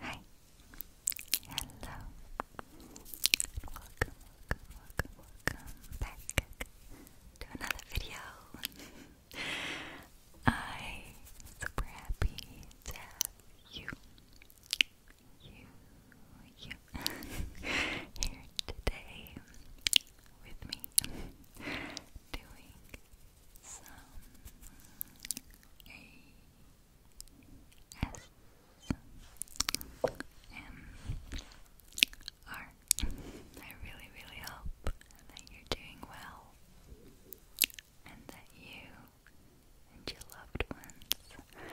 Hi. Hello. Welcome, welcome, welcome, back to another video. I'm super happy to you, you, you here today with me doing some really, really hope that you're doing well and that you and your loved ones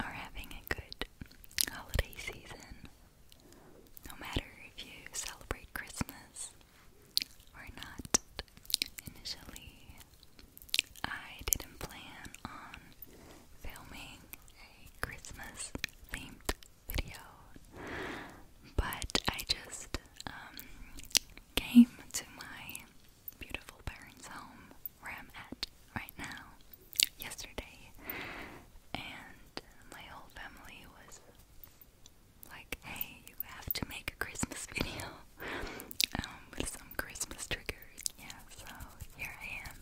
are having a good holiday season. No matter if you celebrate Christmas or not. Initially, I didn't plan on filming a Christmas themed video, but I just um, came to my beautiful parents' home where I'm at right now yesterday, and my whole family was like, hey, you have to make a Christmas video um, with some Christmas triggers. Yeah, so here I am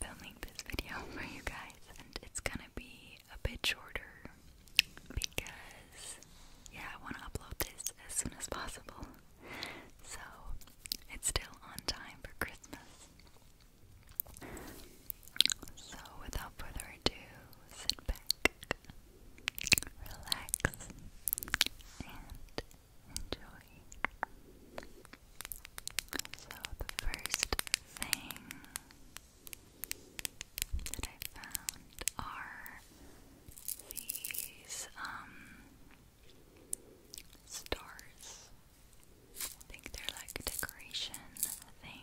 filming this video for you guys, and it's gonna be a bit shorter because, yeah, I want to upload this as soon as possible. So it's still on time for Christmas. So, without further ado, sit back, relax, and enjoy. So, the first thing that I found are these um stars I think they're like decoration thing.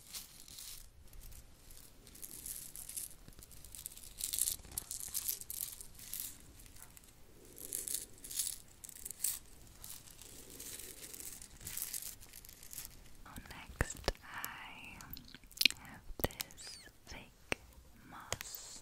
Next, I have this fake moss.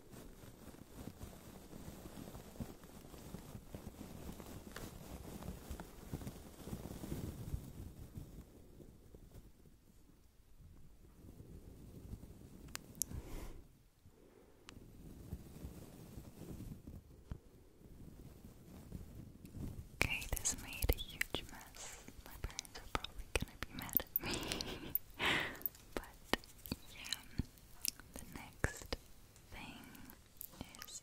Okay, this made a huge mess. My parents are probably gonna be mad But yeah, the next thing is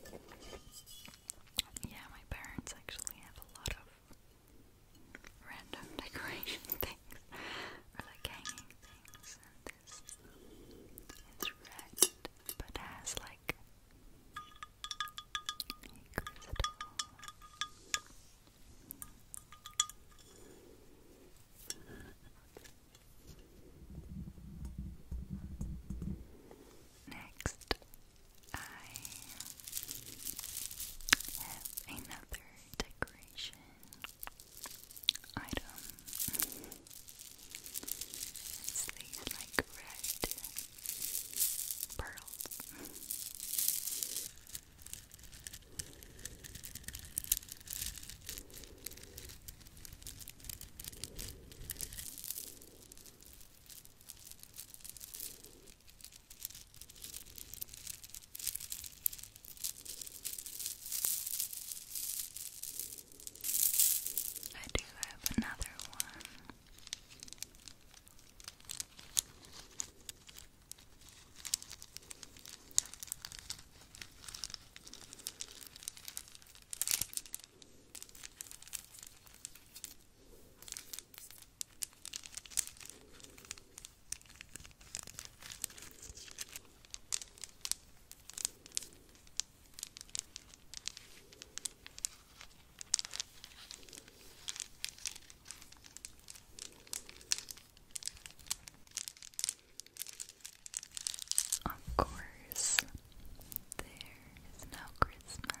this. Yeah, my parents actually have a lot of random decoration things like hanging things and this is red but has like a crystal Next I have another decoration item. It's like red pearls. I do have another one. Of course, there is no Christmas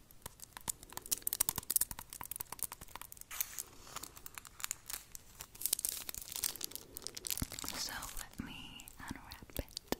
So let me unwrap it.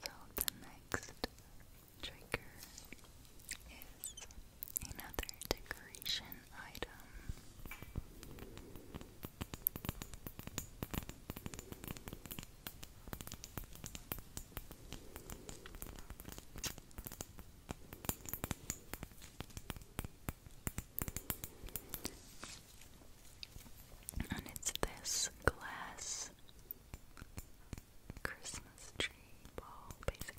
So the next trigger is another decoration item. And it's this glass Christmas tree ball, basically,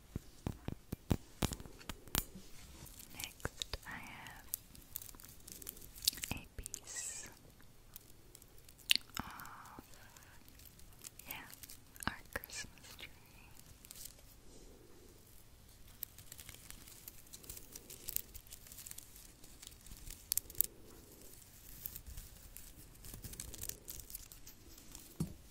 Next, I have a piece of, yeah, our Christmas tree.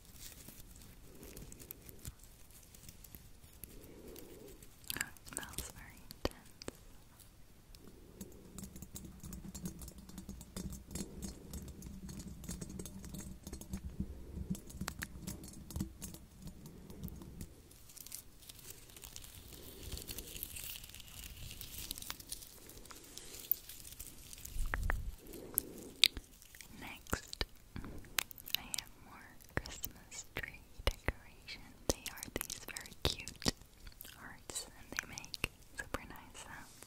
Oh, it smells very intense. Next, I have more Christmas tree decoration. They are these very cute hearts and they make super nice sounds.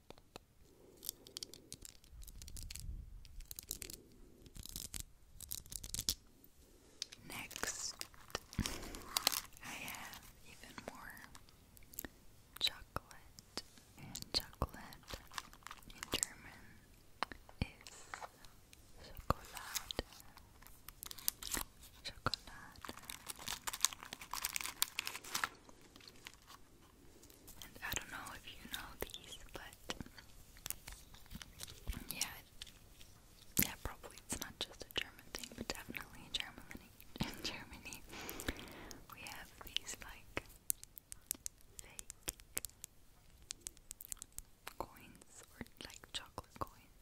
Next, I have even more chocolate, and chocolate German is Schokolade. Chocolate. And I don't know if you know these, but yeah, yeah, probably it's not just a German thing, but definitely in Germany. In Germany, we have these like fake coins or like chocolate coins,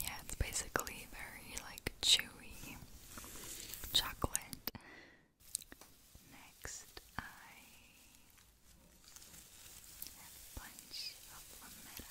Yeah, it's basically very like chewy chocolate. Next, I have a bunch of lametta.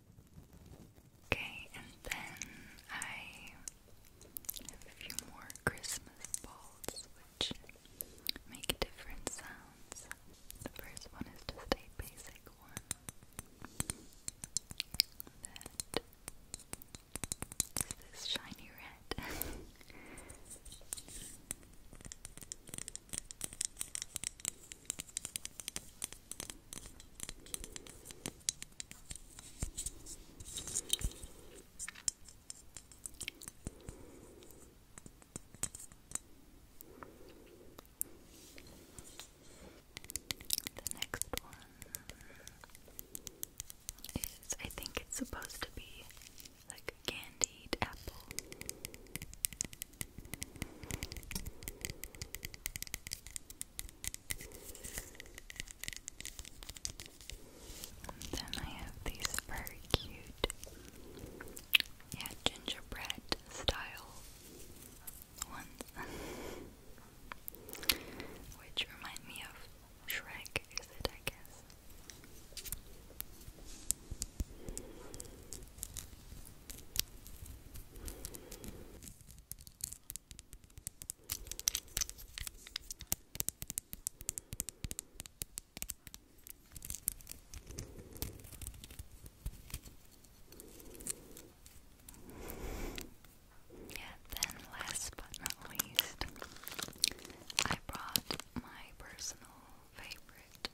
Okay, and then I have a few more Christmas balls which make different sounds. The first one is just a basic one that is this shiny red. The next one is I think it's supposed to be like a candied apple. And then I have these very cute, yeah, gingerbread style ones, which remind me of Shrek, is it, I guess? Yeah, then last but not least, I brought my personal favorite,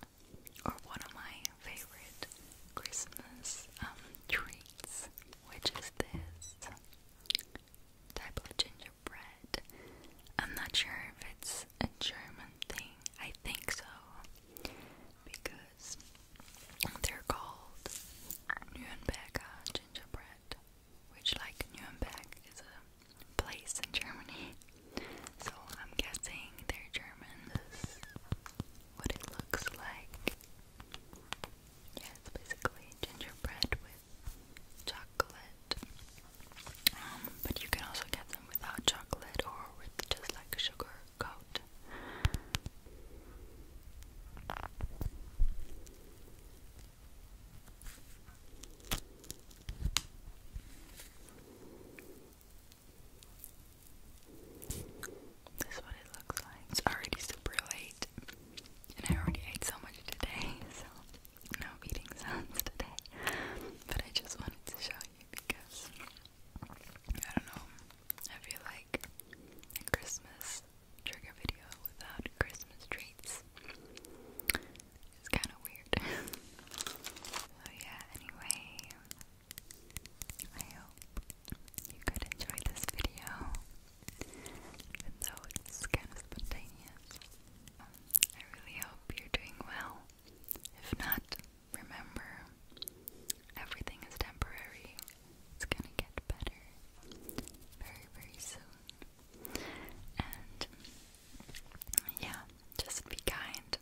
or one of my favorite Christmas um, treats, which is this type of gingerbread. I'm not sure if it's a German thing. I think so, because they're called Nürnberger gingerbread, which, like Nuremberg, is a place in Germany. So I'm guessing they're German. what it looks like. Yeah, it's basically gingerbread with chocolate. Um, but you can also get them without chocolate or with just like sugar coat. This what it looks like. It's already super late, and I already ate so much today, so no eating sounds today. But I just wanted to show you because I don't know. I feel like a Christmas trigger video without Christmas treats is kind of weird. so yeah. Anyway, I hope you could enjoy this video, even though it's kind of spontaneous. Um, I really hope you're doing well. If not, remember everything is temporary. It's gonna get better very, very soon. And yeah, just be kind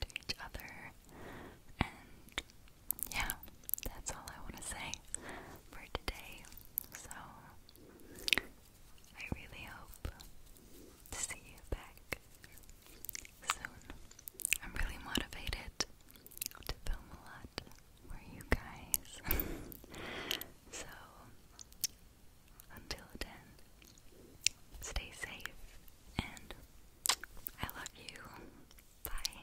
to each other. And yeah, that's all I want to say for today. So I really hope to see you back soon. I'm really motivated to film a lot for you guys. so until then, stay safe and I love you. Bye.